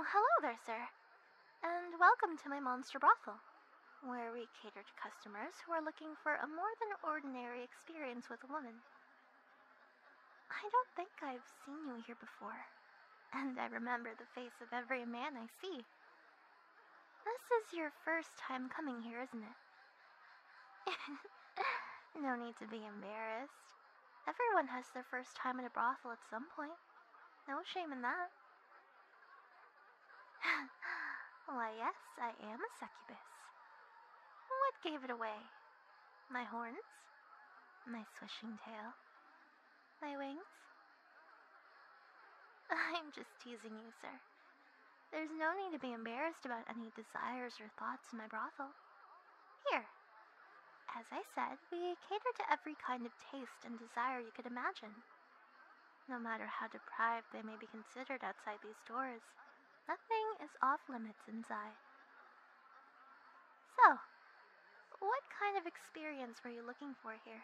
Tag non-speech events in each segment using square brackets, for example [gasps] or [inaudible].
Oh, hello there, sir. And welcome to my Monster Brothel, where we cater to customers who are looking for a more than ordinary experience with a woman. I don't think I've seen you here before and I remember the face of every man I see. This is your first time coming here, isn't it? [laughs] no need to be embarrassed. Everyone has their first time in a brothel at some point. No shame in that. [laughs] Why, yes, I am a succubus. What gave it away? My horns? My swishing tail? my wings? [laughs] I'm just teasing you, sir. There's no need to be embarrassed about any desires or thoughts in my brothel. Here. As I said, we cater to every kind of taste and desire you could imagine. No matter how deprived they may be considered outside these doors, nothing is off limits inside. So, what kind of experience were you looking for here?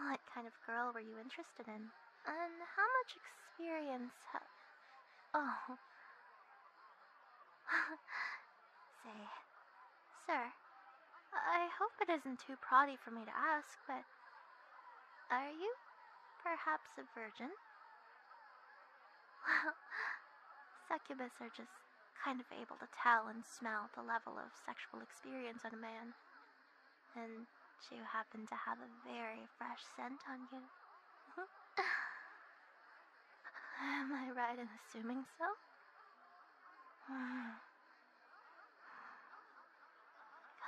What kind of girl were you interested in? And how much experience ha- Oh. [laughs] Say, sir, I hope it isn't too proddy for me to ask, but are you perhaps a virgin? Well, [laughs] succubus are just kind of able to tell and smell the level of sexual experience on a man. And you happen to have a very fresh scent on you. [laughs] Am I right in assuming so? [sighs]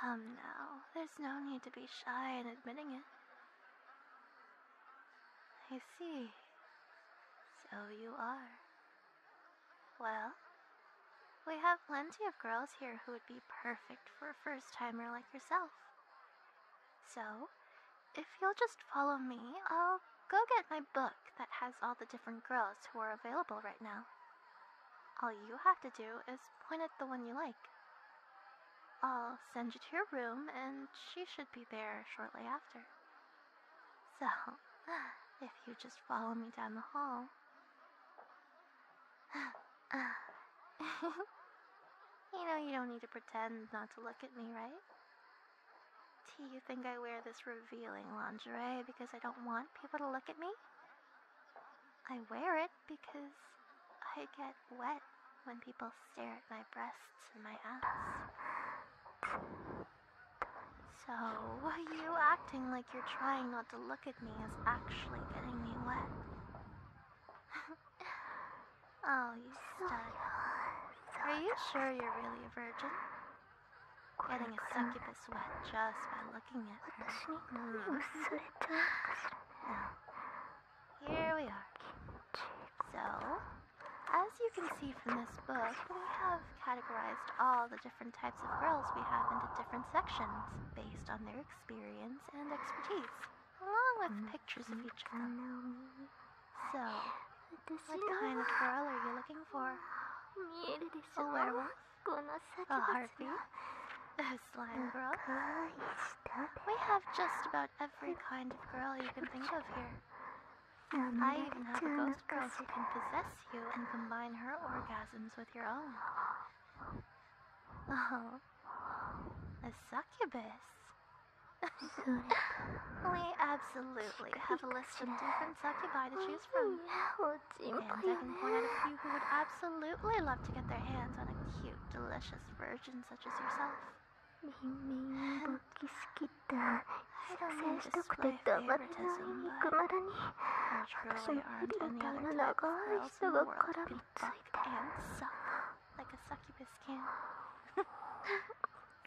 Come now, there's no need to be shy in admitting it. I see. So you are. Well, we have plenty of girls here who would be perfect for a first timer like yourself. So, if you'll just follow me, I'll go get my book that has all the different girls who are available right now. All you have to do is point at the one you like. I'll send you to your room and she should be there shortly after. So, if you just follow me down the hall. [laughs] you know, you don't need to pretend not to look at me, right? Do you think I wear this revealing lingerie because I don't want people to look at me? I wear it because I get wet when people stare at my breasts and my ass. So, you acting like you're trying not to look at me is actually getting me wet. [laughs] oh, you stud. Are you sure you're really a virgin? Getting a succubus wet just by looking at me. Hmm. here we are. So, as you can see from this book, we have categorized all the different types of girls we have into different sections based on their experience and expertise, along with mm-hmm. pictures of each of them. So, [gasps] what kind of [gasps] girl are you looking for? A werewolf? A harpy? A slime girl? We have just about every kind of girl you can think of here. I even have a ghost girl who can possess you and combine her orgasms with your own. Oh, a succubus. we absolutely have a list of different succubi to choose from. And I can point out a few who would absolutely love to get their hands on a cute, delicious virgin such as yourself like a succubus can. [laughs]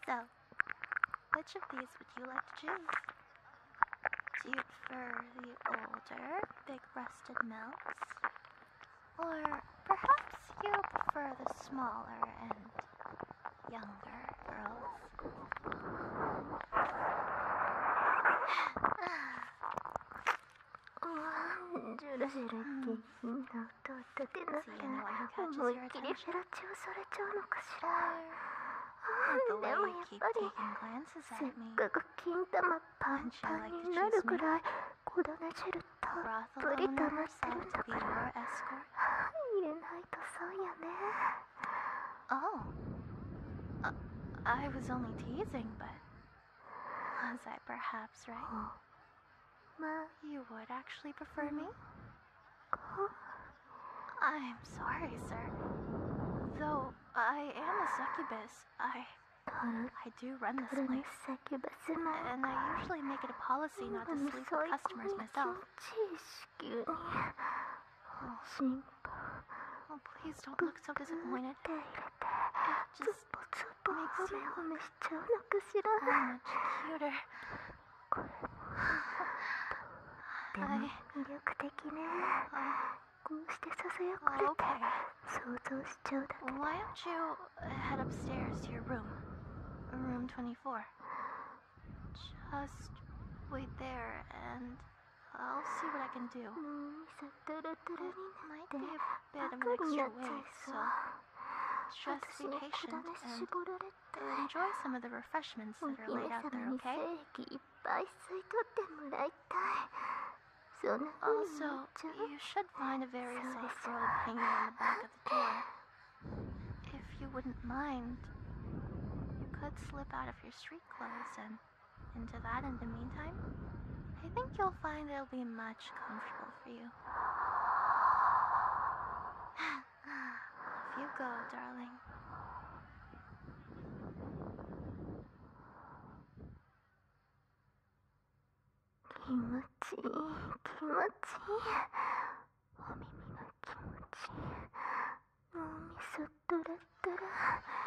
so, which of these would you like to choose? Do you prefer the older, big rusted mounts? Or perhaps you prefer the smaller end? younger girls. Mm. Seeing what he catches your attention. でもやっぱりせっかく金玉パンパンになるぐらいこだね汁たっぷり溜まってるんだから Oh I was only teasing but was I perhaps right? Huh? [gasps] you would actually prefer mm-hmm. me? I'm sorry sir though I am a succubus I I do run this place. And I usually make it a policy not to sleep with customers myself jeez, cutie. Oh, simple. Oh, please don't look so disappointed. It just makes you look so much cuter. I... 魅力的ね。こうしてささやかれて想像しちゃうだけ。Why oh, don't you head upstairs to your room? Room 24. Just wait there and I'll see what I can do. It might be a bit of extra way, so just be patient and enjoy some of the refreshments that are laid out there, okay? Also, you should find a very soft robe hanging on the back of the door. If you wouldn't mind, you could slip out of your street clothes and into that in the meantime. I think you'll find it'll be much comfortable for you. if [laughs] you go, darling. Kimochi, kimochi. お耳が気持ちいい脳みそトラトラ気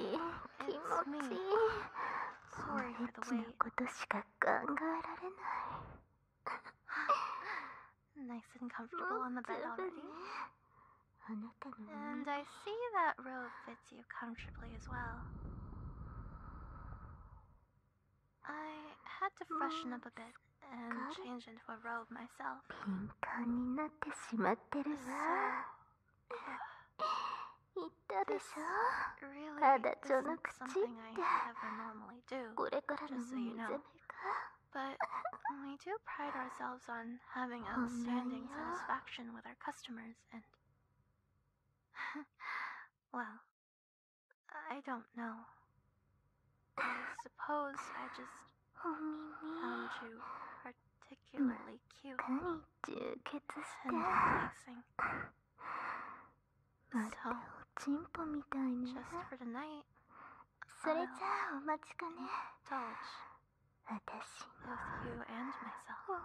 持ちいい気持ちいいもうエッチなことしか考えられない [laughs] nice and comfortable on the bed already. [laughs] And I see that robe fits you comfortably as well. I had to freshen up a bit and change into a robe myself. 敏感になってしまってるわ。言ったでしょただちょの口ってこれからのもいいじゃないか [sighs] [laughs] we do pride ourselves on having oh, outstanding satisfaction with our customers and. [laughs] well, I don't know. I suppose I just found you particularly cute. And relaxing. So, just for tonight, それじゃあお待ちかね。私 both you and myself.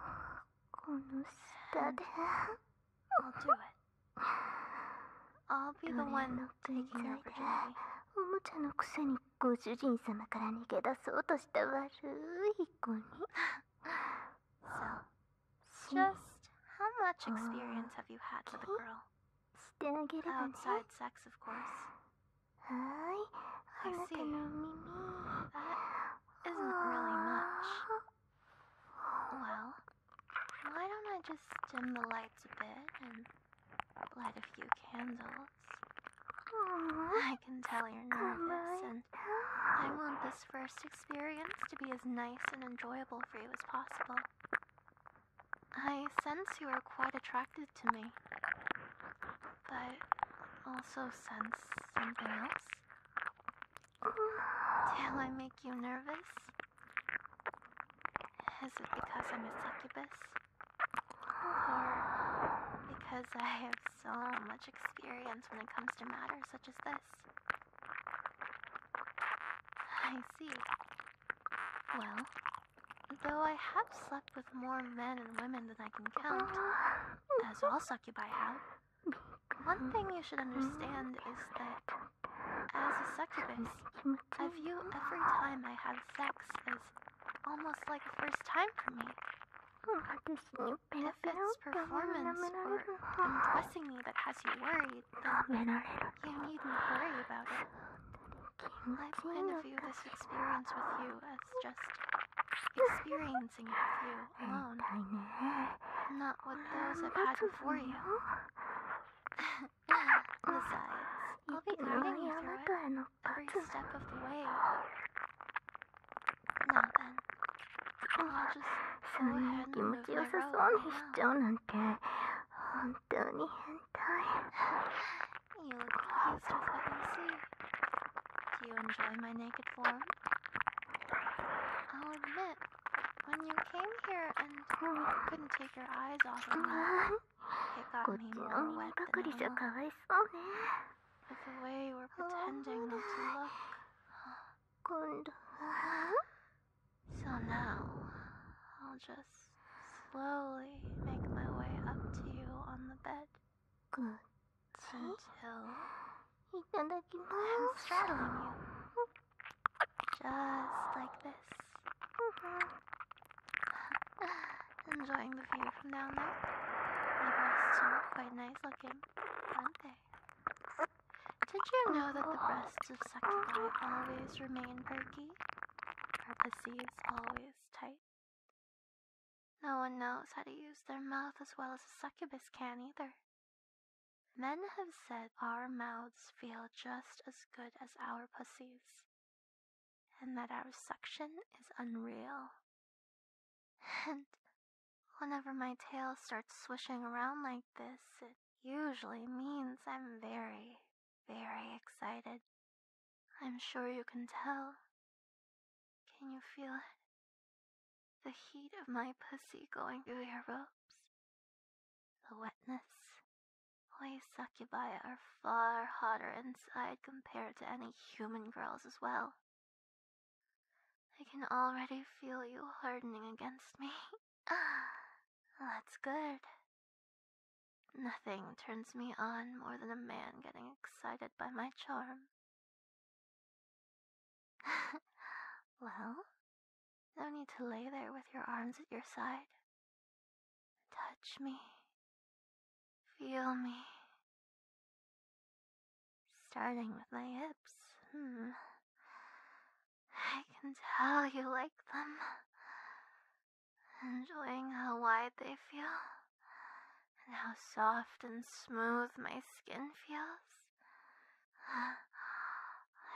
この下で。I'll oh, do it. I'll be the one taking your virginity. おもちゃのくせにご主人様から逃げ出そうとした悪い子に。so, just how much experience have you had with girl? してあげればね。Outside sex, of course. はい。あなたの耳。That isn't really much. Well. Why don't I just dim the lights a bit and light a few candles? I can tell you're nervous, and I want this first experience to be as nice and enjoyable for you as possible. I sense you are quite attracted to me, but also sense something else. Till I make you nervous? Is it because I'm a succubus? because I have so much experience when it comes to matters such as this? I see. Well, though I have slept with more men and women than I can count, as all succubi have, one thing you should understand is that as a succubus, I view every time I have sex as almost like a first time for me. If it's performance or undressing me that has you worried, then you needn't worry about it. I plan to view this experience with you as just experiencing it with you alone, not with those I've had before you. [laughs] Besides, I'll be guiding you through it every step of the way. Now then, I'll just go ahead and move my robe around. 本当に変態 You look pleased with what you see. Do you enjoy my naked form? I'll admit, when you came here and couldn't take your eyes off of me, it got me more wet than normal. With the way you were oh, pretending not to look. So now, I'll just slowly make my way up to you on the bed. Until I'm straddling you. Just like this. Mm-hmm. [laughs] Enjoying the view from down there. My breasts are quite nice looking, aren't they? Did you know that the breasts of succubi always remain perky? Our pussies always tight? No one knows how to use their mouth as well as a succubus can either. Men have said our mouths feel just as good as our pussies, and that our suction is unreal. And whenever my tail starts swishing around like this, it usually means I'm very, very excited. I'm sure you can tell. Can you feel it? The heat of my pussy going through your robe. The wetness, we succubi are far hotter inside compared to any human girls as well. I can already feel you hardening against me. [sighs] That's good. Nothing turns me on more than a man getting excited by my charm. [laughs] well, no need to lay there with your arms at your side. Touch me. Feel me. Starting with my hips. Hmm. I can tell you like them. Enjoying how wide they feel. And how soft and smooth my skin feels.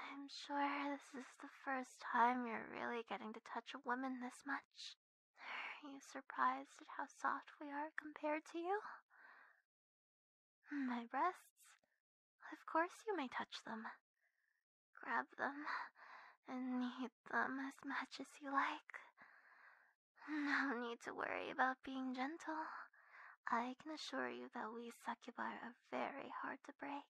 I'm sure this is the first time you're really getting to touch a woman this much. Are you surprised at how soft we are compared to you? My breasts? Of course you may touch them. Grab them and knead them as much as you like. No need to worry about being gentle. I can assure you that we succubi are very hard to break.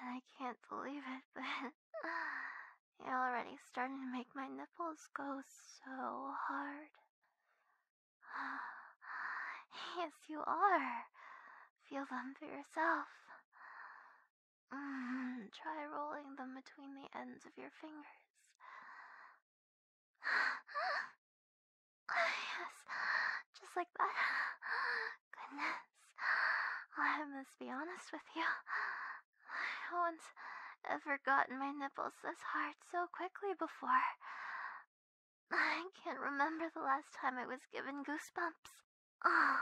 I can't believe it, [laughs] but you're already starting to make my nipples go so hard. [sighs] Yes, you are. Feel them for yourself. Mm, try rolling them between the ends of your fingers. [sighs] yes, just like that goodness. I must be honest with you. No one's ever gotten my nipples this hard so quickly before. I can't remember the last time I was given goosebumps. Oh,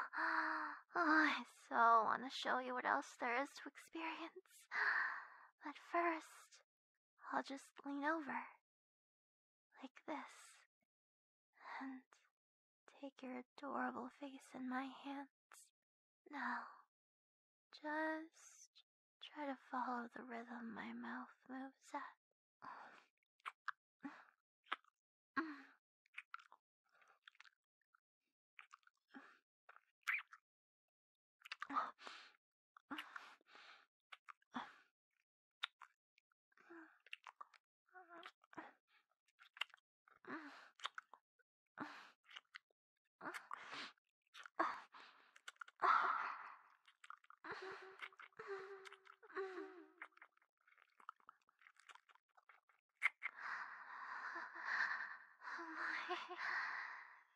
I so want to show you what else there is to experience. But first, I'll just lean over. Like this and take your adorable face in my hands. Now, just try to follow the rhythm my mouth moves at.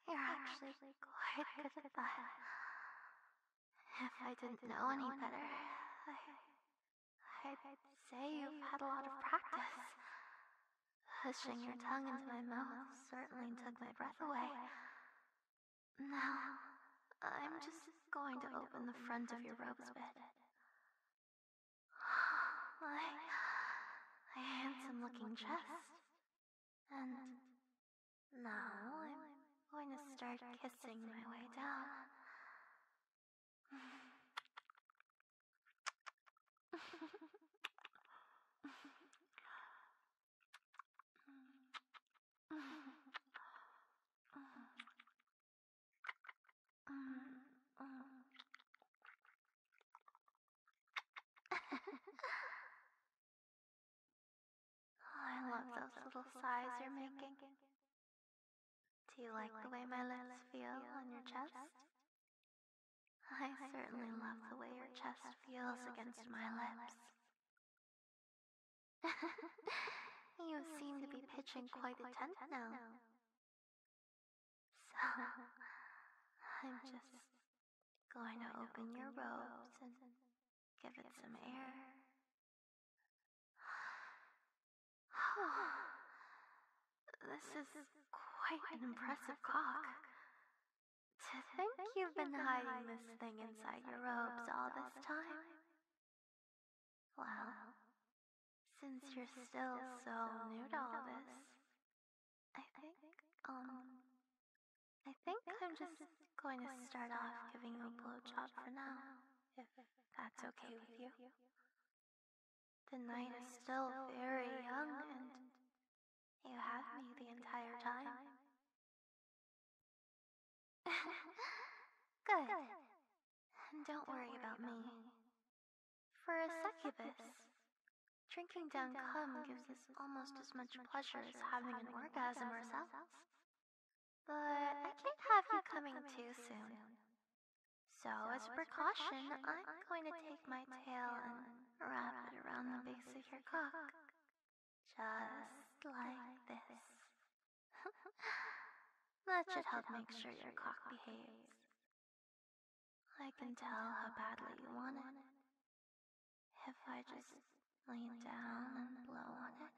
You're actually quite good at that. If I didn't know any better, I I'd say you've had a lot of practice. Pushing your tongue into my mouth certainly took my breath away. Now, I'm just going to open the front of your robes [sighs] a bit. My, my handsome looking chest. And now I'm going to start kissing my way down. [laughs] Oh, I love those little sighs you're making. Do you like the way my lips feel on your chest? I certainly love the way your chest feels against my lips. [laughs] you seem to be pitching quite a tent now. So, [laughs] [laughs] I'm just going to open your robe, and give it some air. [sighs] this is quite an impressive cock. To think you've been hiding this thing inside your robes all this time. Well, since you're still so new to all this, I think, um, um, I think I'm just going to start off giving you a blowjob for now, if that's okay with you. The night is still very young, and you have me the entire time. [laughs] [laughs] Good. Don't worry about me. For a succubus, drinking down cum gives us almost as much pleasure as having an orgasm ourselves. But I can't have you coming too soon. So, as a precaution, I'm going to take my tail and wrap it around the base of your cock. Just like this. [laughs] that should help make sure your cock behaves. I can tell how badly you want it. If I just lean down and blow on it,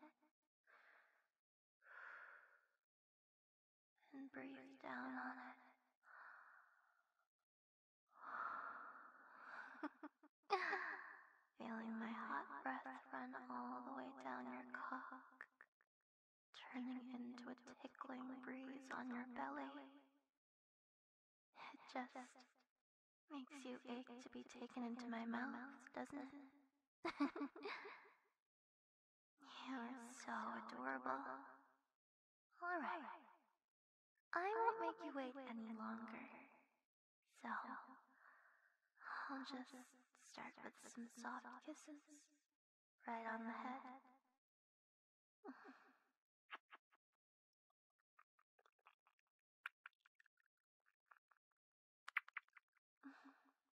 and breathe down on it. Feeling my hot breath run all the way down your cock, turning into a tickling breeze on your belly. It just makes you ache to be taken into my mouth, doesn't it? [laughs] You're so adorable. All right. I won't make you wait any longer. So, I'll just start with some soft kisses right on the head. [laughs] [laughs]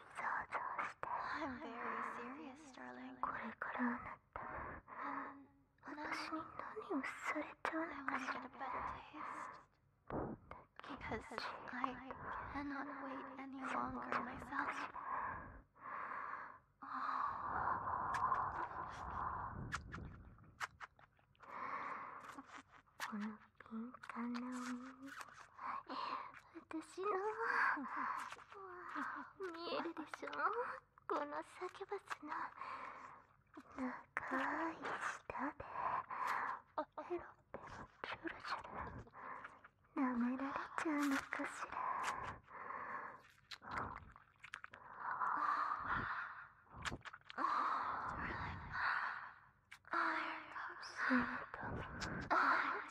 想して I'm very serious, darling これからあなた私に何をされちゃうのかしら um, I wanted a better taste Because I cannot wait any longer myself Oh 私の見えるでしょこの酒バスの長い舌でペロペロチュルチュル舐められちゃうのかしらすると。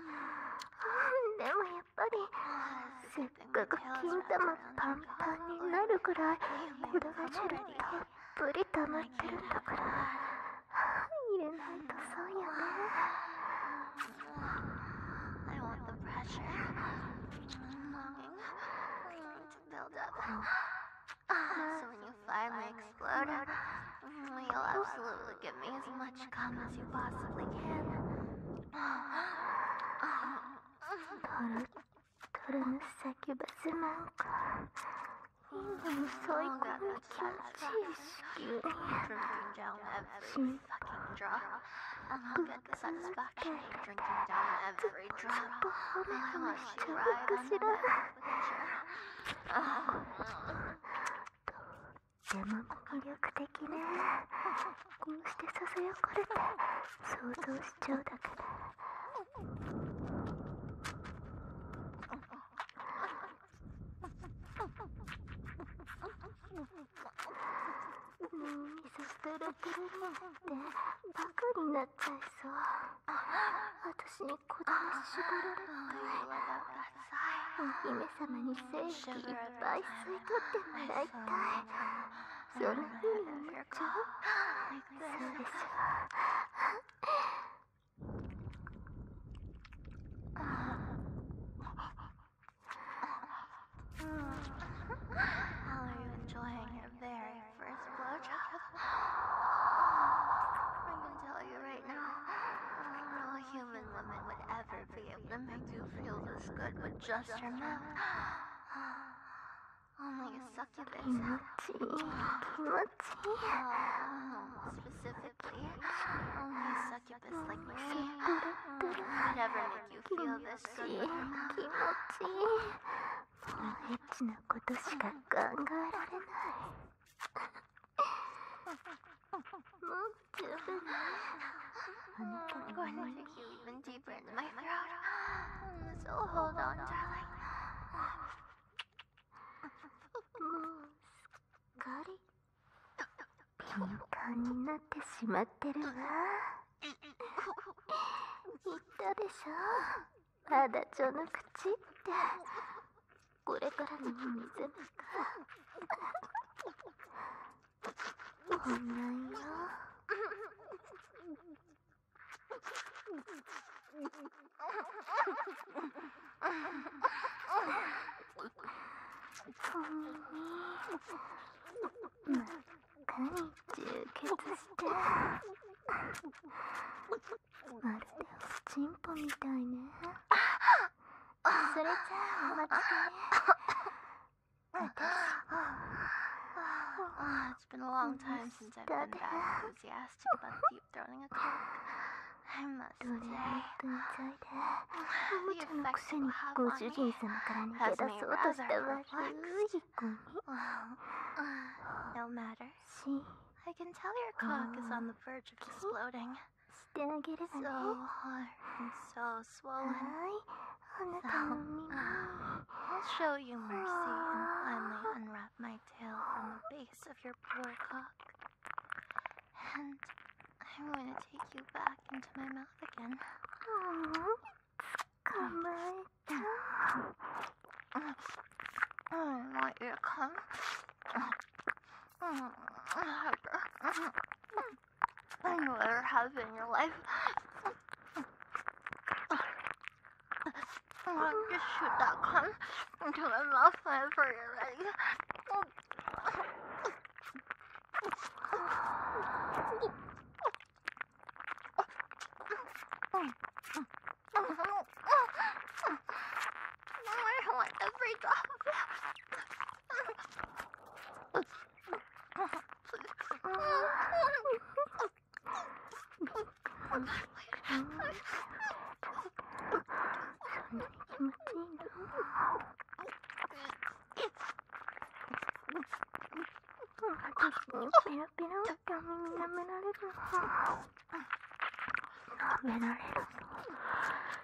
でもやっぱりせっかく金玉パンパンになるくらいこだわ汁たっぷり溜まってるんだから入れないとそうよね。I want the pressure. I'm longing, longing to build up. So when you finally You'll absolutely give me as much cum as you possibly can. 그런 succubus milk. I'm oh, so drinking down every fucking the satisfaction of drinking down every drop. I'll you ride 山も魅力的ねこうしてささやかれて想像しちゃうだけでもう水捨てられてるなんてバカになっちゃいそう私にのことを絞られて姫様に精気いっぱい吸い取ってもらいたいそんな風に思っちゃうそうでしょ human woman would ever be able to make you feel this good with just her mouth. Only [gasps] oh a succubus. Pretty, pretty. Oh, specifically, only oh, a succubus like me would ever make you feel this good with her mouth. そのエッチなことしか考えられない。[laughs] [laughs] [laughs] Look to the I'm going to keep even deeper in my throat. So hold on, darling. もうすっかり敏感になってしまってるわ。言ったでしょ。まだ序の口って。これからの水むか。んなんよ。ほんに、むっかり充血して。まるでおちんぽみたいね。それじゃあお待ちかね [laughs] oh, it's been a long time since I've been that enthusiastic about deep throating a coke. I must say, the effects you have on me has made rather perplexed. [sighs] No matter. I can tell your cock is on the verge of exploding. してあげればね。So hard and so swollen. はい。あなたの耳。So, uh, I'll show you mercy and finally ah. unwrap my tail from the base of your poor cock. And I'm going to take you back into my mouth again. Aww. Mm. 捕まえた。I mm. mm, want you to come. And you ever have in your life. I'll just shoot that cunt into my mouth whenever you're ready. I want to break up. Pero, pero, caminame la letra. Me la letra.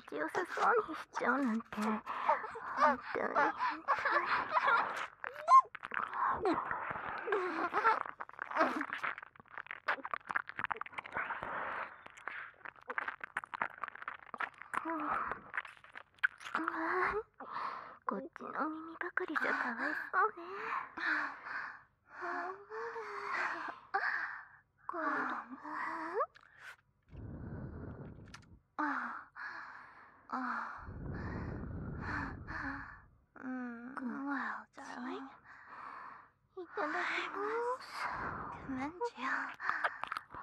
気持ちよさそうにしちゃうなんて本当にこっちの耳ばかりじゃかわいね。今度は。啊啊！Mm, well darling, I must commend you.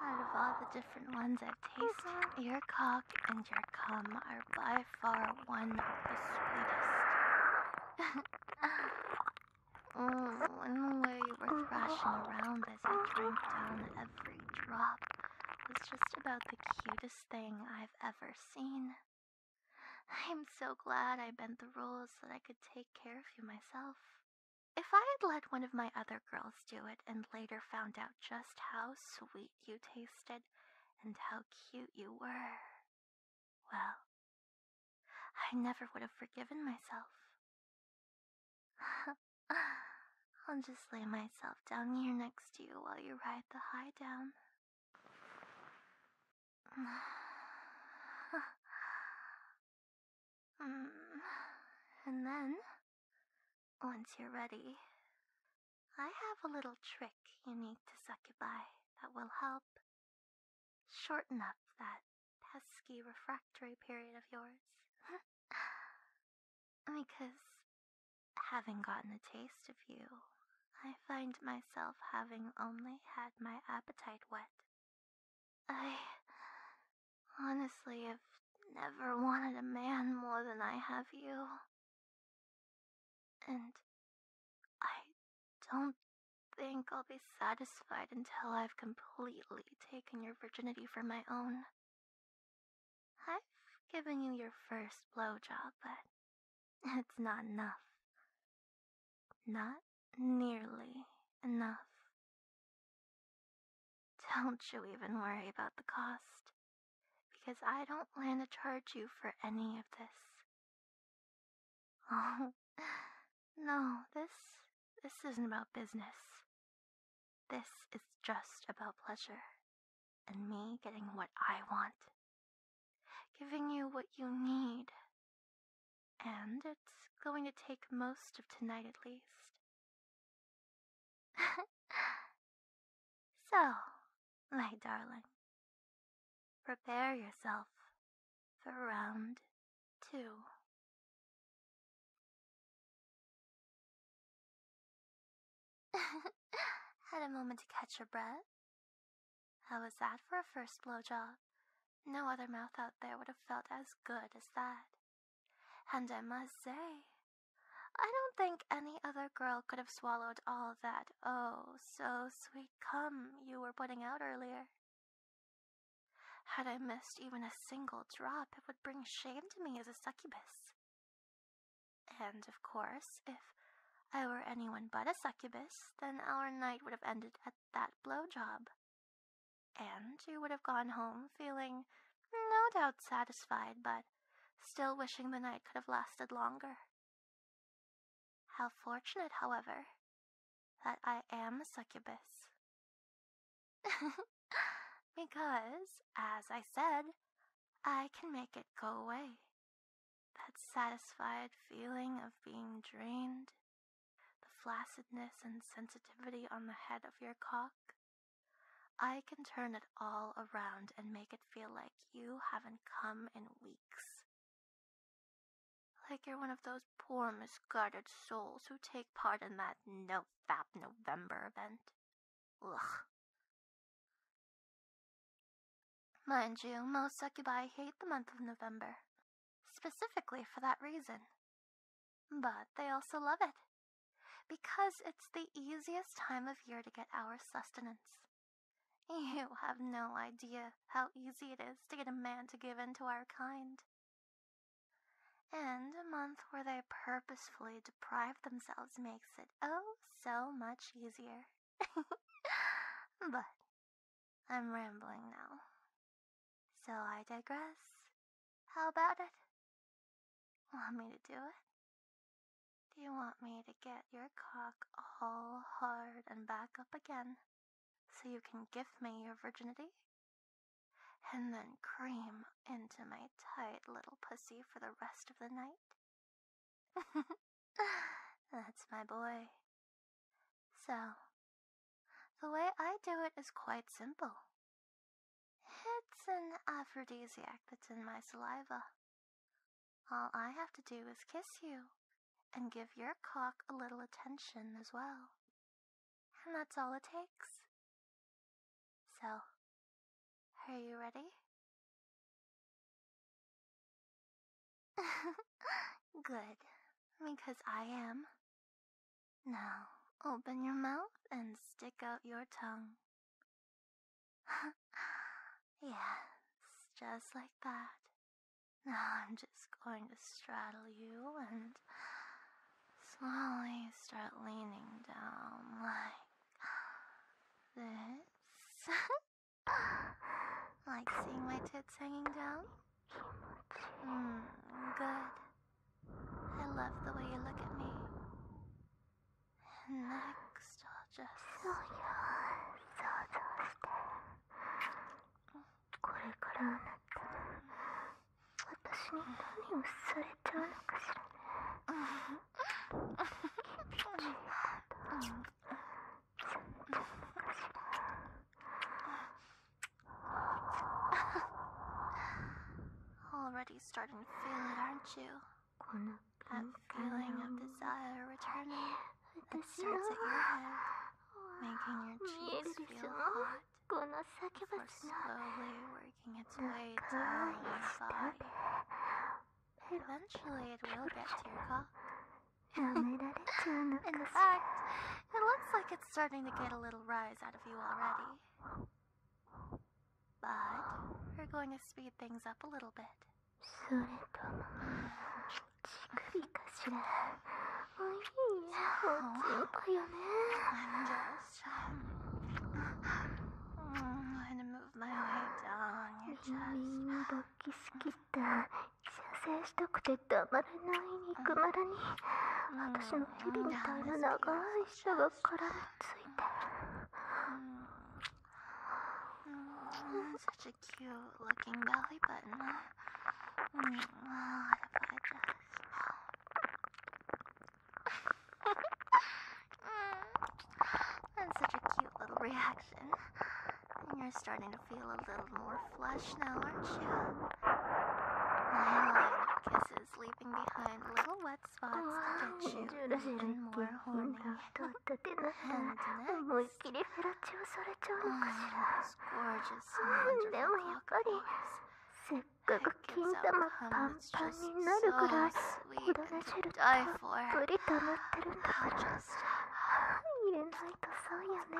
Out of all the different ones I've tasted, your cock and your cum are by far one of the sweetest. oh, and the way you were thrashing around as I drank down every drop was just about the cutest thing I've ever seen. I'm so glad I bent the rules that I could take care of you myself. If I had let one of my other girls do it and later found out just how sweet you tasted and how cute you were, well, I never would have forgiven myself. I'll just lay myself down here next to you while you ride the high down. and then, once you're ready, I have a little trick you need to by that will help shorten up that pesky refractory period of yours. [laughs] Because, [sighs] having gotten a taste of you, I find myself having only had my appetite wet. I honestly have never wanted a man more than I have you. And I don't think I'll be satisfied until I've completely taken your virginity for my own. I've given you your first blowjob, but it's not enough. Not nearly enough. Don't you even worry about the cost, because I don't plan to charge you for any of this. [laughs] Oh, no, this this isn't about business. This is just about pleasure and me getting what I want, giving you what you need. And it's going to take most of tonight at least. [laughs] so, my darling, prepare yourself for round two. [laughs] Had a moment to catch your breath? How was that for a first blowjob? No other mouth out there would have felt as good as that. And I must say, I don't think any other girl could have swallowed all that oh so sweet cum you were putting out earlier. Had I missed even a single drop, it would bring shame to me as a succubus. And of course, if I were anyone but a succubus, then our night would have ended at that blow job. And you would have gone home feeling no doubt satisfied, but still wishing the night could have lasted longer. How fortunate, however, that I am a succubus [laughs] because, as I said, I can make it go away. That satisfied feeling of being drained, the flaccidness and sensitivity on the head of your cock. I can turn it all around and make it feel like you haven't come in weeks. Like you're one of those poor, misguided souls who take part in that no the Fab November event. Ugh. Mind you, most succubi hate the month of November, specifically for that reason. But they also love it, because it's the easiest time of year to get our sustenance. You have no idea how easy it is to get a man to give in to our kind. And a month where they purposefully deprive themselves makes it oh so much easier. [laughs] but I'm rambling now. So I digress. How about it? Want me to do it? Do you want me to get your cock all hard and back up again so you can give me your virginity? and then cream into my tight little pussy for the rest of the night. [laughs] That's my boy. So, the way I do it is quite simple. It's an aphrodisiac that's in my saliva. All I have to do is kiss you and give your cock a little attention as well. And that's all it takes. So, are you ready? [laughs] Good, because I am. Now, open your mouth and stick out your tongue. [laughs] yes, just like that. Now I'm just going to straddle you and slowly start leaning down like [gasps] this. [laughs] like seeing my tits hanging down? Mm, good. I love the way you look at me. Next, I'll just. 私に何をされちゃうのかしらね。キュッキュッちゃうのかしら。Already [laughs] starting to feel it, aren't you? That feeling of desire returning that starts at your head, making your cheeks feel hot. [laughs] slowly working its way down your Eventually, it will get to your cock. やめられちゃうのか [laughs] In し fact, it looks like it's starting to get a little rise out of you already. But we're going to speed things up a little bit. それとも乳首かしらおいいやおちんぽよね oh, I'm just I'm gonna move my way down your chest. みんな勃起すぎた。射精したくてたまらない肉まらに。私の蛇みたいな長い舌が絡みついて。Such a cute looking belly button. Mm, oh, I just. Mm. That's such a cute little reaction. you're starting to feel a little more flushed now, aren't you? My line kisses leaving behind little wet spots to get you oh, even more [laughs] ックが金玉パンパンになるぐらいこだね汁たっぷり溜まってるんだから入れないとそよね。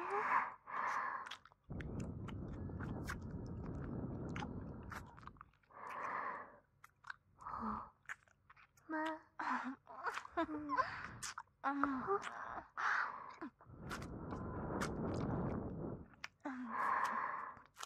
まあ、うん、こう。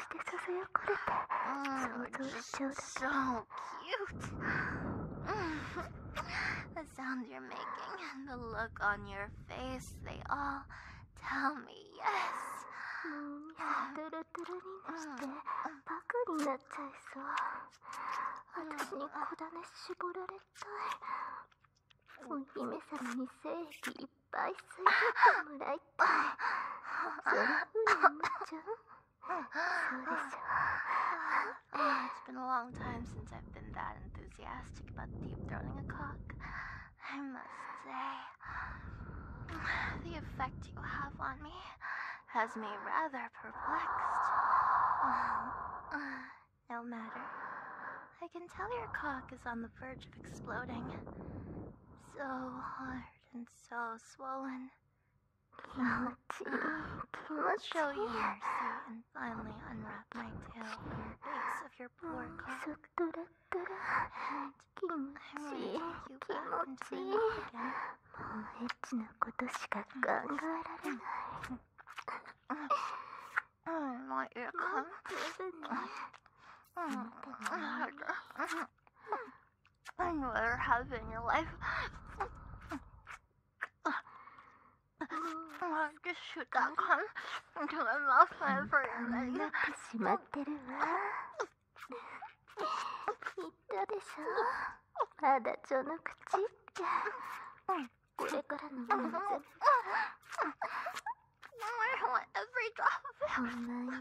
してささやかれて想像しちゃうだけ So cute! the sound you're making and the look on your face, they all tell me yes. もうトゥルトゥルになしてバカになっちゃいそう私に小種絞られたいお姫様に正義一ぱい吸い取ってもらいたいそれ無理無茶そうでしょ [laughs] oh, It's been a long time since I've been that enthusiastic about deep throating a cock I must say the effect you have on me has me rather perplexed no matter I can tell your cock is on the verge of exploding so hard and so swollen. Now, [laughs] let show you mercy and finally unwrap my tail from the base of oh, I will you back into my oh, mouth mm. I never have in your life. I'll just shoot that gun into my mouth whenever you're ready. しまってるわ。言ったでしょ。まだ序の口って。これからの人生。I want every drop of it. ほんまよ。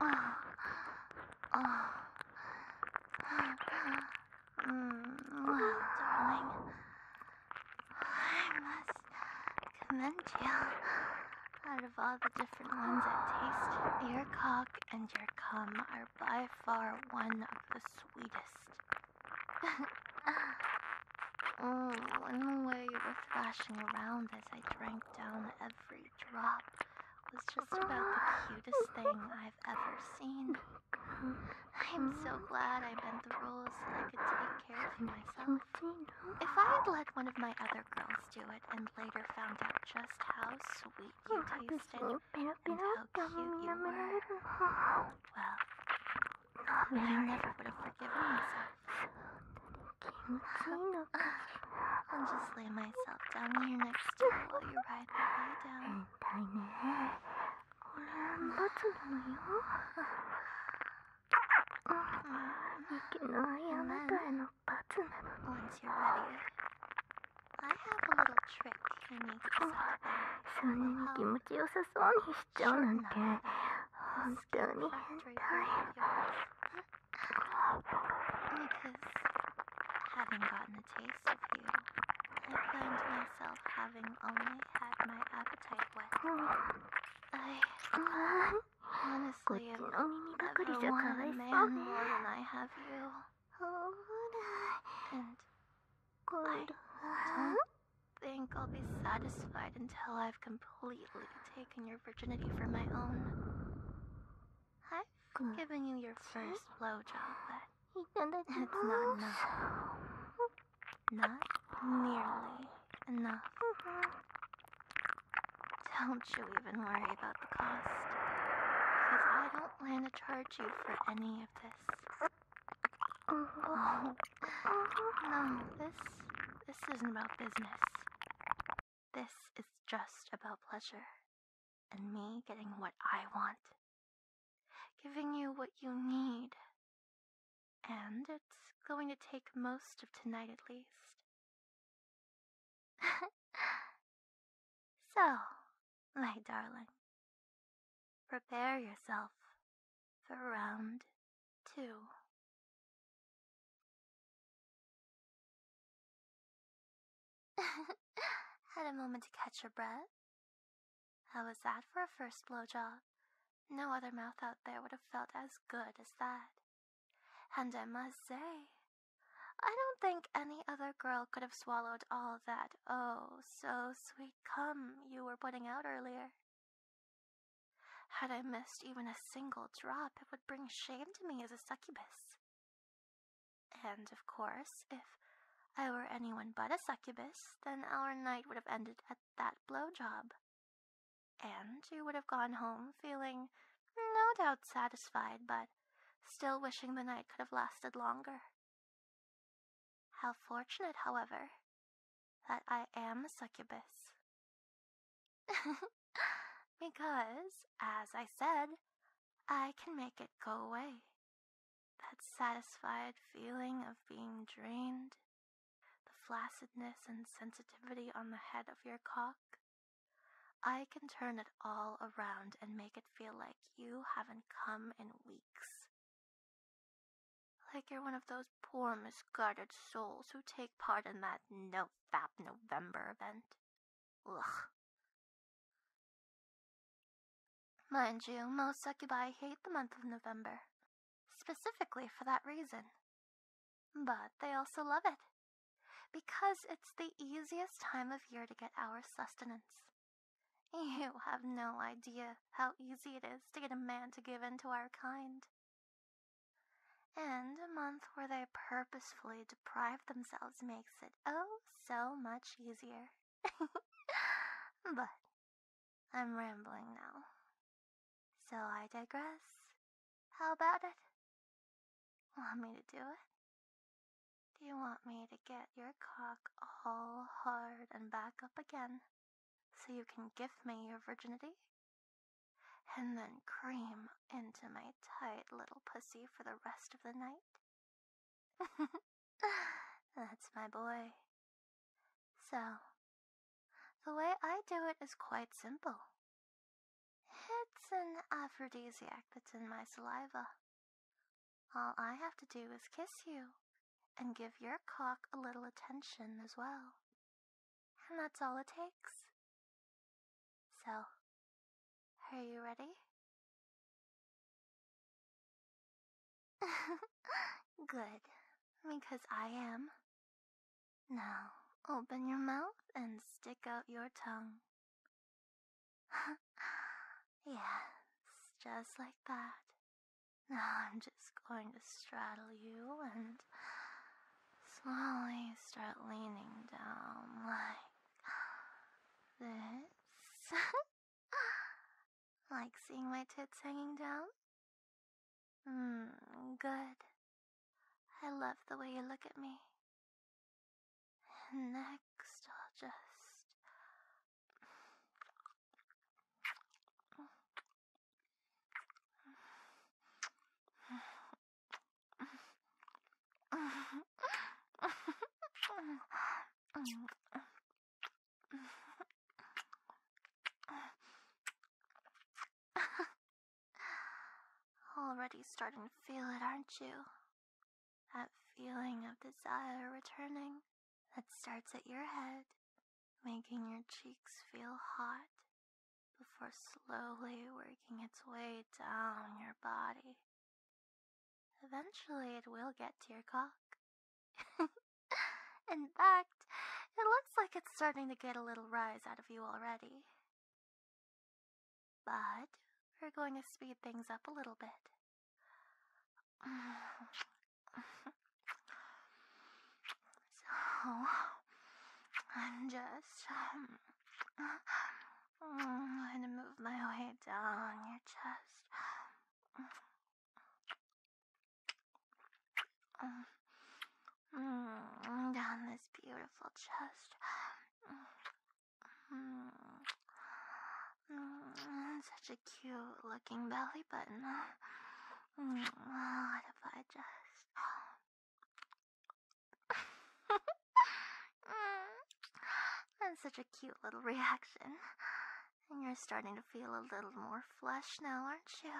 Oh, darling, I must Out of all the different ones I taste, your cock and your cum are by far one of the sweetest. oh, and the way you were thrashing around as I drank down every drop was just about the cutest thing I've ever seen. I'm so glad I bent the rules so I could take care of myself. If I had let one of my other girls do it and later found out just how sweet you tasted and how cute you were, well, I never would have forgiven myself. I'll just lay myself down here next to you while you ride me down. way down. 얼른 맞춰줘요. 이게 나야 나가는 빠진. Once you're ready, I have a little trick I need to set up. 소년이 기분이 요사 소니 시죠 난데. 本当に変態。because having gotten a taste of you, I find myself having only had my appetite wet. I honestly am never wanted a man more than I have you. And I don't think I'll be satisfied until I've completely taken your virginity for my own. Hi, Giving you your first blowjob, but it's not enough. Not nearly enough. Don't you even worry about the cost. Because I don't plan to charge you for any of this. Uh-huh. Oh, no, this, this isn't about business. This is just about pleasure and me getting what I want, giving you what you need. And it's going to take most of tonight at least. [laughs] so, my darling, prepare yourself for round two. [laughs] Had a moment to catch your breath? How was that for a first blowjob? No other mouth out there would have felt as good as that. And I must say, I don't think any other girl could have swallowed all that oh so sweet cum you were putting out earlier. Had I missed even a single drop, it would bring shame to me as a succubus. And of course, if I were anyone but a succubus, then our night would have ended at that blow job, And you would have gone home feeling no doubt satisfied, but still wishing the night could have lasted longer. How fortunate, however, that I am a succubus. [laughs] because, as I said, I can make it go away. That satisfied feeling of being drained, the flaccidness and sensitivity on the head of your cock. I can turn it all around and make it feel like you haven't come in weeks. Like you're one of those poor misguided souls who take part in that no fab November event. Ugh. Mind you, most succubi hate the month of November, specifically for that reason. But they also love it, because it's the easiest time of year to get our sustenance. You have no idea how easy it is to get a man to give in to our kind and a month where they purposefully deprive themselves makes it oh so much easier. [laughs] but I'm rambling now. So I digress. How about it? Want me to do it? Do you want me to get your cock all hard and back up again so you can give me your virginity? And then cream into my Tight little pussy for the rest of the night. [laughs] That's my boy. So, the way I do it is quite simple. It's an aphrodisiac that's in my saliva. All I have to do is kiss you and give your cock a little attention as well. And that's all it takes. So, are you ready? [laughs] Good, because I am. Now, open your mouth and stick out your tongue. [laughs] Yeah, just like that. Now I'm just going to straddle you and slowly start leaning down like [gasps] This? [laughs] like seeing my tits hanging down? Mmm, good. I love the way you look at me. Next, I'll just. Already starting to feel it, aren't you? That feeling of desire returning that starts at your head, making your cheeks feel hot before slowly working its way down your body. Eventually, it will get to your cock. [laughs] In fact, it looks like it's starting to get a little rise out of you already. But we're going to speed things up a little bit. [sighs] So, I'm just. Um, [sighs] I'm going to move my way down your chest. Mm, down this beautiful chest. Mm, such a cute looking belly button. Mm, what if I just Mm. That's such a cute little reaction. And you're starting to feel a little more flesh now, aren't you?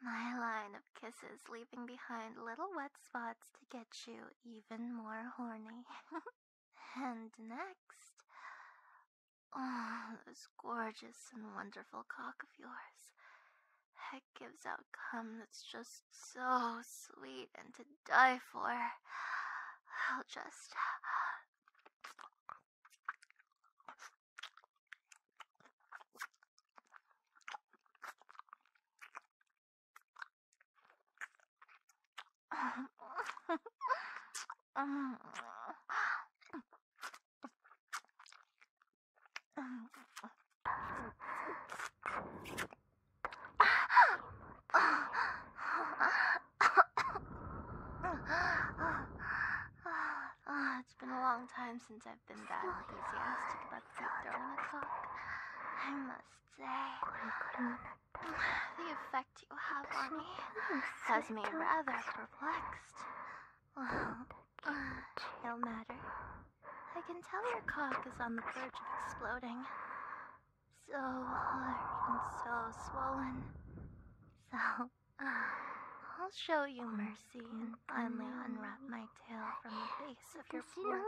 My line of kisses leaving behind little wet spots to get you even more horny. [laughs] and next, oh, those gorgeous and wonderful cock of yours gives out cum that's just so sweet and to die for. I'll just. Ah, it's been a long time since I've been that enthusiastic about the throwing o'clock. I must say, the effect you have on me has me rather perplexed. Well, no matter. I can tell your cock is on the verge of exploding. So hard and so swollen. So, [sighs] I'll show you mercy and finally unwrap my tail from the base of your poor cock.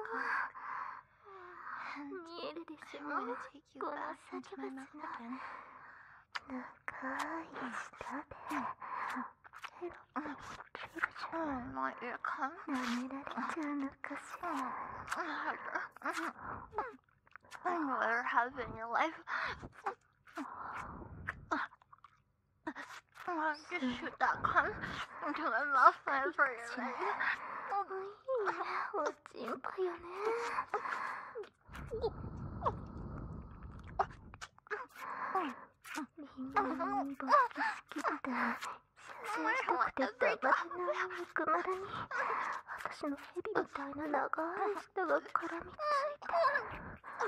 And I'm gonna you back into because whatever happened in your life, I'll just shoot that gun into my mouth and for your leg. 我心配よね。みんなのバス好きだ。伸縮くてダバな肉丸に私のヘビみたいな長い舌が絡みついて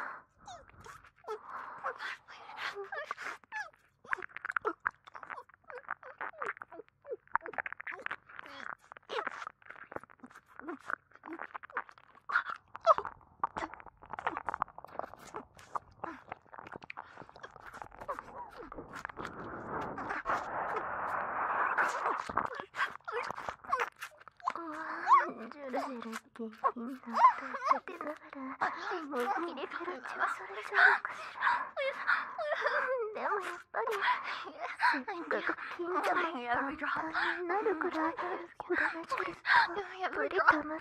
下品な歌をかけながらもうキレキレ調それちゃうのしらでもやっぱりせっかく金玉になるくらいこだまじるかま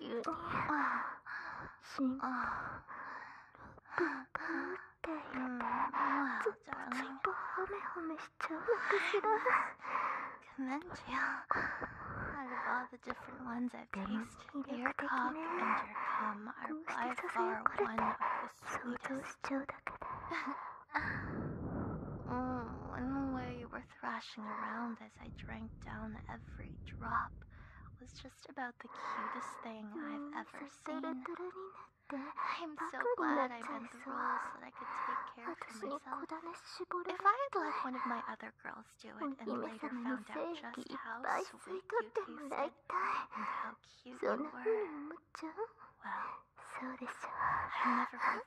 you. 진짜 음, 짜증. 허매허매 시청하시라. Commend you. I love the different ones I've tasted. Your cock and your cum are by far one of the sweetest. mm, in the way you were thrashing around as I drank down every drop was just about the cutest thing I've mm, ever seen. I'm so glad I bent the rules so uh, that I could take care of myself. If I had let one of my other girls do it and later found out just how sweet you tasted and how cute you were, well, I'll never be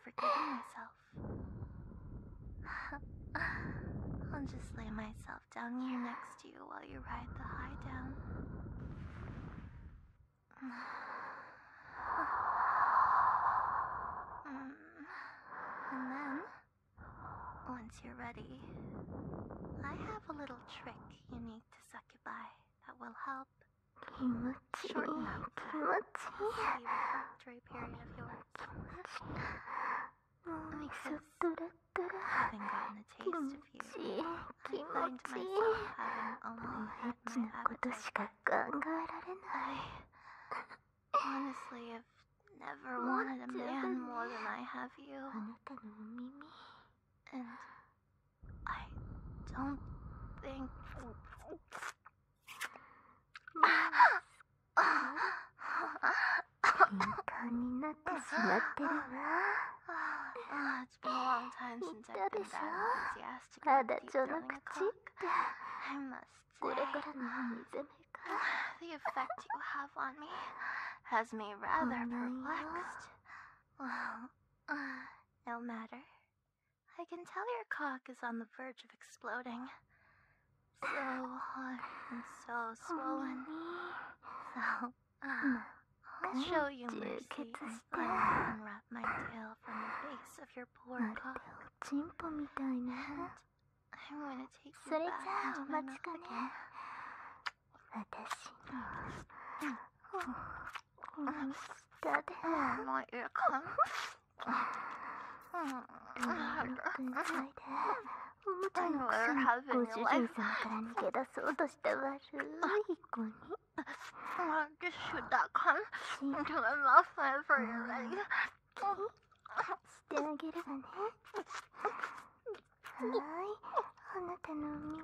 forgiving myself. [laughs] I'll just lay myself down here next to you while you ride the high down. [sighs] And then, once you're ready, I have a little trick unique to succubi that will help shorten up the sleep period of yours. Having gotten a taste of you, I find myself having only had my appetite. I honestly have never wanted more than I have you. And I don't think 敏感になってしまってるわ。It's a long time since I've been that enthusiastic. まだ序の口って。I must say. これからの水目か。The effect you have on me has me rather perplexed. Well, uh, no matter. I can tell your cock is on the verge of exploding. So hard and so swollen. [gasps] So, uh, I'll show you mercy and unwrap my tail from the base of your poor cock. And I want to take you back into my mouth again. 私の下でもういいか [sighs] ちゃんのご主人様から逃げ出そうとした悪い子に。してあげるわね。はい、あなたのお耳。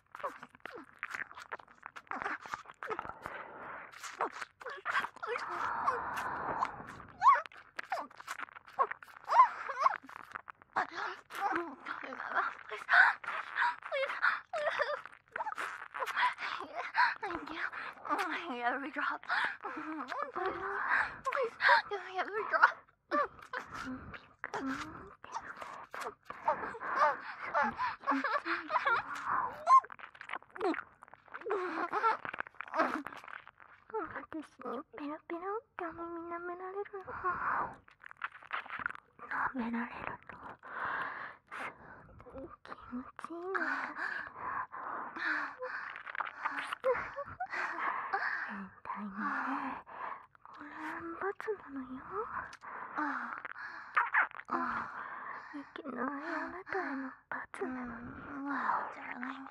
every drop. Please, please, give me every drop. にペロペロってお耳舐められるの舐められるの気持ちいいの変態にねこれ罰なのよああああいきなりあなたへの罰なのに wow darling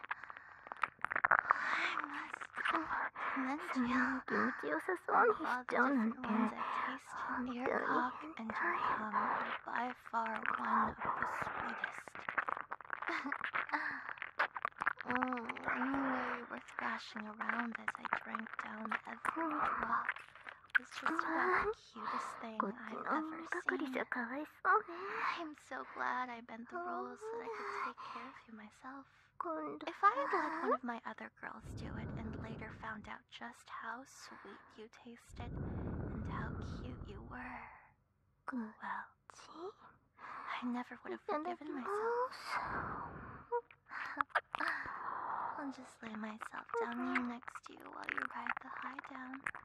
I must mention you 気持ちよさそうにしちゃうなんて本当に Your cock and your are by far one of the sweetest Oh, you were thrashing around as I drank down every drop. It's just about the cutest thing I've ever seen. I'm so glad I bent the rules so that I could take care of you myself. If I had let one of my other girls do it and later found out just how sweet you tasted and how cute you were, well, I never would have forgiven myself. [sighs] I'll just lay myself down here next to you while you ride the high down. [sighs]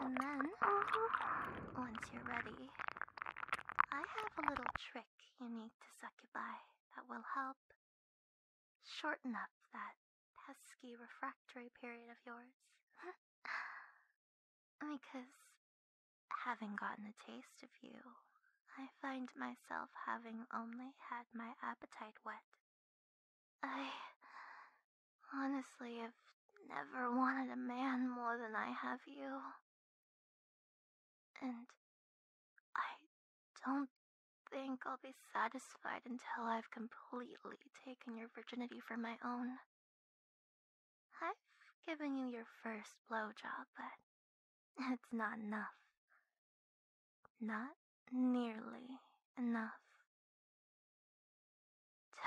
And then, once you're ready, I have a little trick unique to succubi that will help shorten up that pesky refractory period of yours. [laughs] Because, having gotten a taste of you, I find myself having only had my appetite wet. I honestly have never wanted a man more than I have you. And I don't think I'll be satisfied until I've completely taken your virginity for my own. I've given you your first blowjob, but it's not enough. Not nearly enough.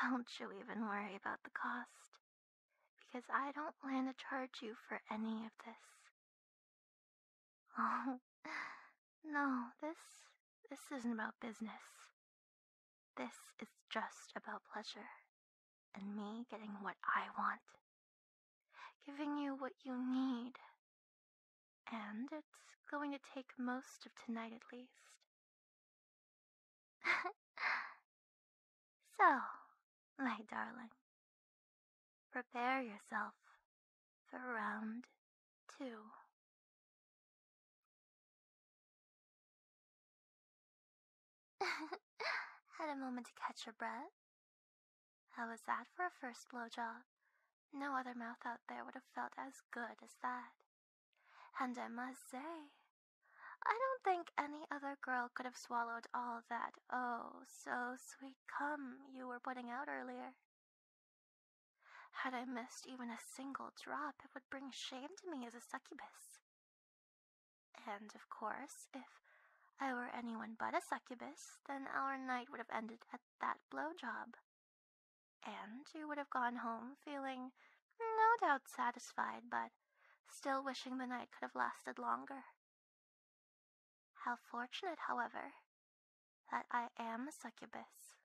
Don't you even worry about the cost, because I don't plan to charge you for any of this. [laughs] Oh, no, this this isn't about business. This is just about pleasure and me getting what I want, giving you what you need. And it's going to take most of tonight at least. [laughs] so, my darling, prepare yourself for round two. [laughs] Had a moment to catch your breath? How was that for a first blowjob? No other mouth out there would have felt as good as that. And I must say, I don't think any other girl could have swallowed all that oh so sweet cum you were putting out earlier. Had I missed even a single drop, it would bring shame to me as a succubus. And of course, if I were anyone but a succubus, then our night would have ended at that blow job. And you would have gone home feeling no doubt satisfied, but still wishing the night could have lasted longer. How fortunate, however, that I am a succubus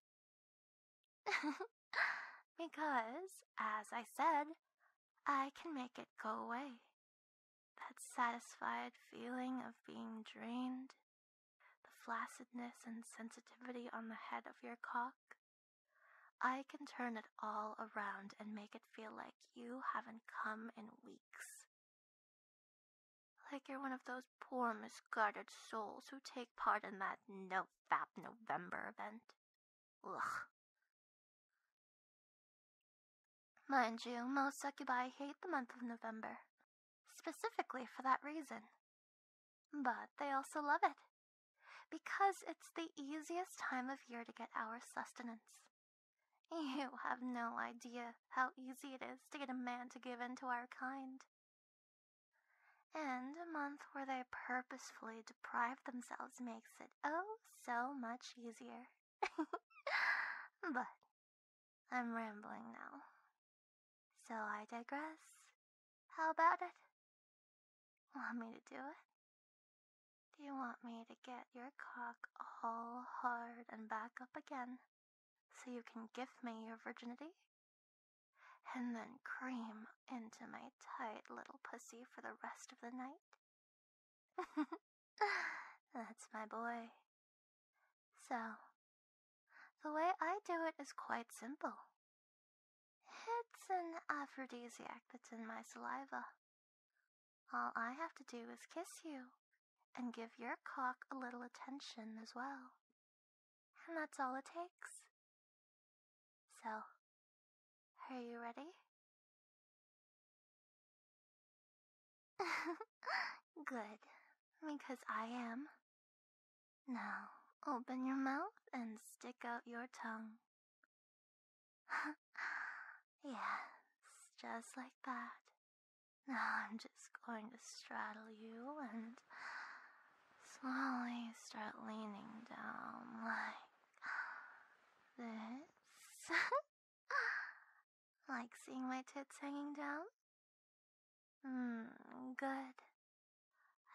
[laughs] because, as I said, I can make it go away. That satisfied feeling of being drained, the flaccidness and sensitivity on the head of your cock. I can turn it all around and make it feel like you haven't come in weeks. Like you're one of those poor misguided souls who take part in that no fab November event. Ugh. Mind you, most succubi hate the month of November, specifically for that reason. But they also love it, because it's the easiest time of year to get our sustenance. You have no idea how easy it is to get a man to give in to our kind. And a month where they purposefully deprive themselves makes it oh so much easier. [laughs] but I'm rambling now. So I digress. How about it? Want me to do it? Do you want me to get your cock all hard and back up again so you can give me your virginity? and then cream into my tight little pussy for the rest of the night. [laughs] That's my boy. So, the way I do it is quite simple. It's an aphrodisiac that's in my saliva. All I have to do is kiss you and give your cock a little attention as well. And that's all it takes. So, are you ready? [laughs] Good, because I am. Now, open your mouth and stick out your tongue. [laughs] yes, just like that. Now I'm just going to straddle you and slowly start leaning down like this. [laughs] like seeing my tits hanging down? Mmm, good.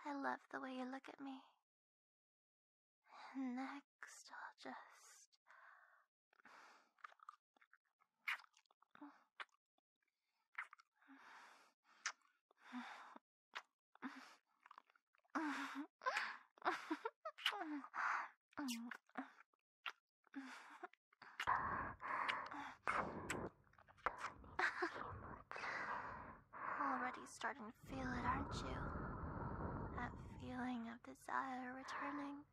I love the way you look at me. Next, I'll just. Already starting to feel it, aren't you? That feeling of desire returning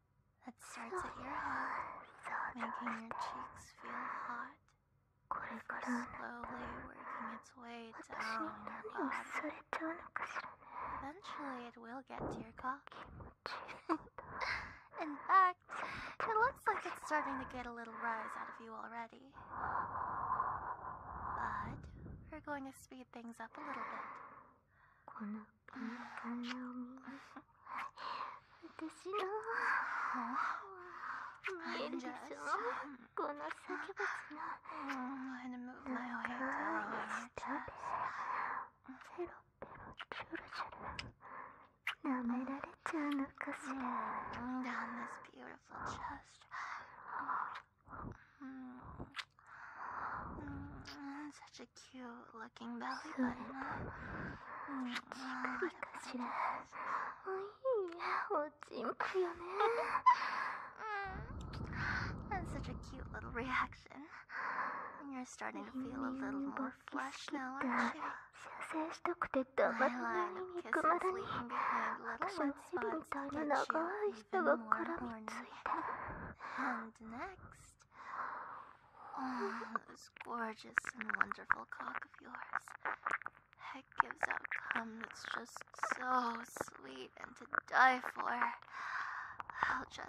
that starts at your heart, [sighs] making your cheeks feel hot slowly working its way down your body. Eventually, it will get to your cock. [laughs] In fact, it looks like it's starting to get a little rise out of you already. But we're going to speed things up a little bit. [laughs] I [laughs] just 어, oh, move my way down your chest. 새롭게로 주르주르 Down this beautiful chest. Mm, such a cute looking belly button. そうだ、ピカチラ。おい mm, Oh, [laughs] Jimku, mm. That's such a cute little reaction. You're starting to feel a little more flesh now, aren't you? My line of kisses leaving behind little wet spots to get you even more horny. And next, oh, this gorgeous and wonderful cock of yours. Heck gives out cum that's just so sweet and to die for. I'll just.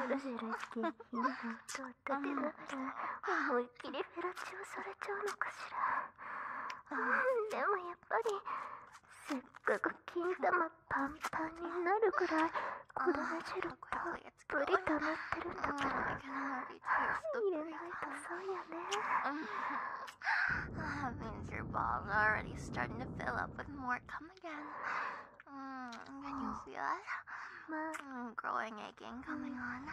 ジュレスキーにとって出ながら思いっきりフェラチオされちゃうのかしら、うん、でもやっぱり [laughs] oh, スイカが金玉パンパンになるぐらい子供汁たっぷり溜まってるんだけど入れないとそうやね That means your balls are already starting to fill up with more cum again mm, Can you feel it? Mm, growing, aching, coming on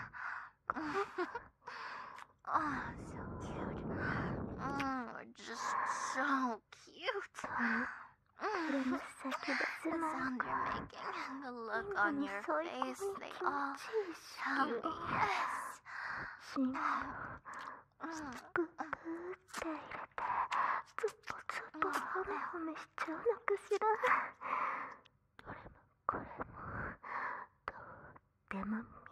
mm. [laughs] Oh, so cute. Oh, just so cute. the sound you're making and the look on your face, they all tell me yes.